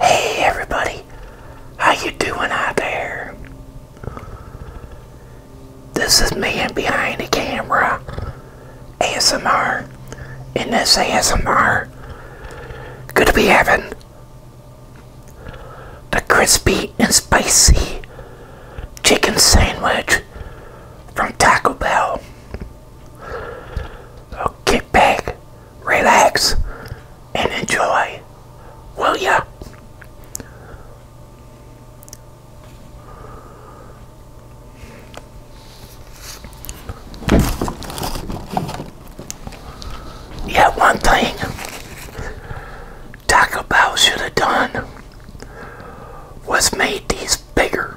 Hey everybody, how you doing out there? This is me behind the camera ASMR. In this ASMR, gonna be having the crispy and spicy chicken sandwich from Taco Bell. So get back, relax, and enjoy, will ya? Yeah, one thing Taco Bell should have done was made these bigger.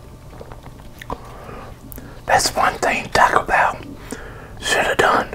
That's one thing Taco Bell should have done.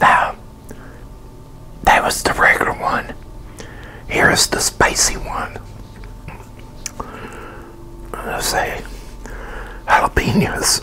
Now, that was the regular one. Here is the spicy one. Let's say jalapenos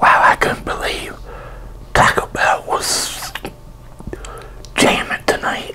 Wow, I couldn't believe Taco Bell was jamming tonight.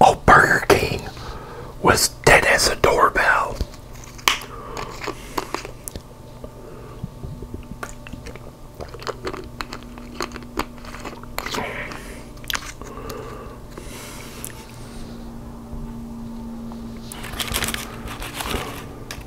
Oh, Burger King was dead as a doorbell.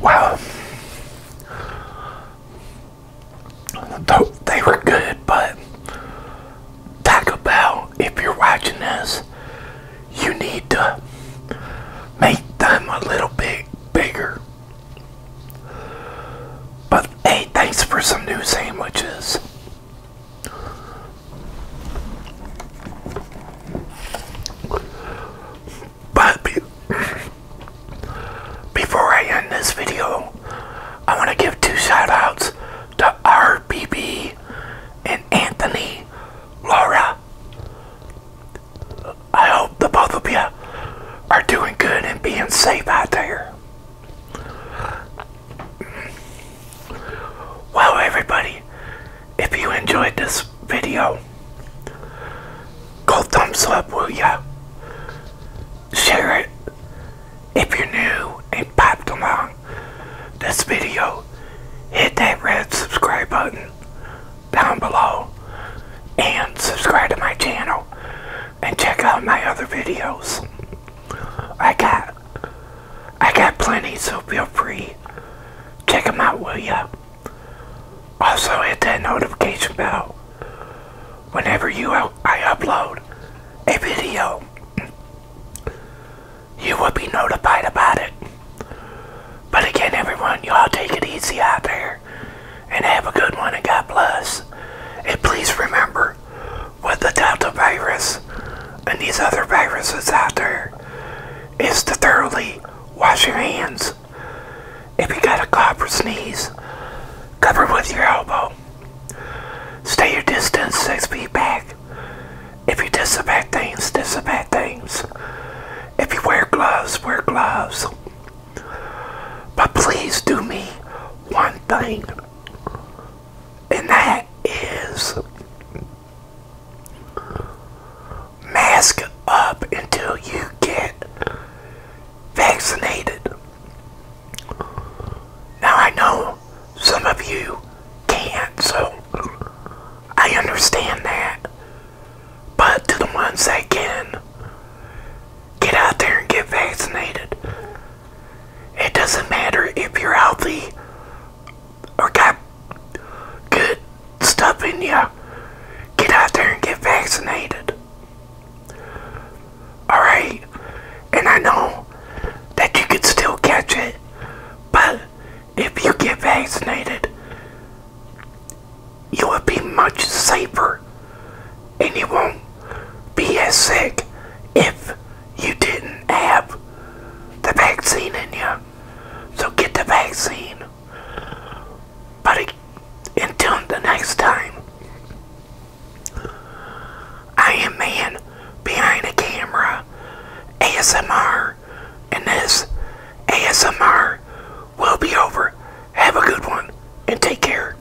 Wow. They were good, but Taco Bell, if you're watching this, you need to make them a little bit bigger. But hey, thanks for some new sandwiches. But before I end this video, I want to give two shout outs to RBB and Anthony Laura. I hope the both of you are doing good and being safe out there. Well, everybody, if you enjoyed this video, go thumbs up, will ya? Share it. If you're new and popped along this video, hit that red subscribe button down below and subscribe to my channel and check out my other videos. I got I got plenty, so feel free. Check them out, will ya? Also, hit that notification bell whenever you I upload a video. You will be notified about it. But again, everyone, y'all take it easy out there and have a good one and God bless. And please remember, with the Delta virus and these other viruses out there is to thoroughly wash your hands. If you got a cough or sneeze, cover with your elbow. Stay your distance six feet back. If you disinfect things, disinfect things. If you wear gloves, wear gloves. But please do me one thing, and that is Mask up until you get vaccinated. Now I know some of you can't, so I understand that. But to the ones that can, get out there and get vaccinated. It doesn't matter if you're healthy or got good stuff in you, get out there and get vaccinated. Alright? And I know that you could still catch it, but if you get vaccinated, you will be much safer and you won't be as sick if you didn't have the vaccine in you. So get the vaccine. But until the next time, I am man behind a camera, ASMR, and this ASMR will be over. Have a good one and take care.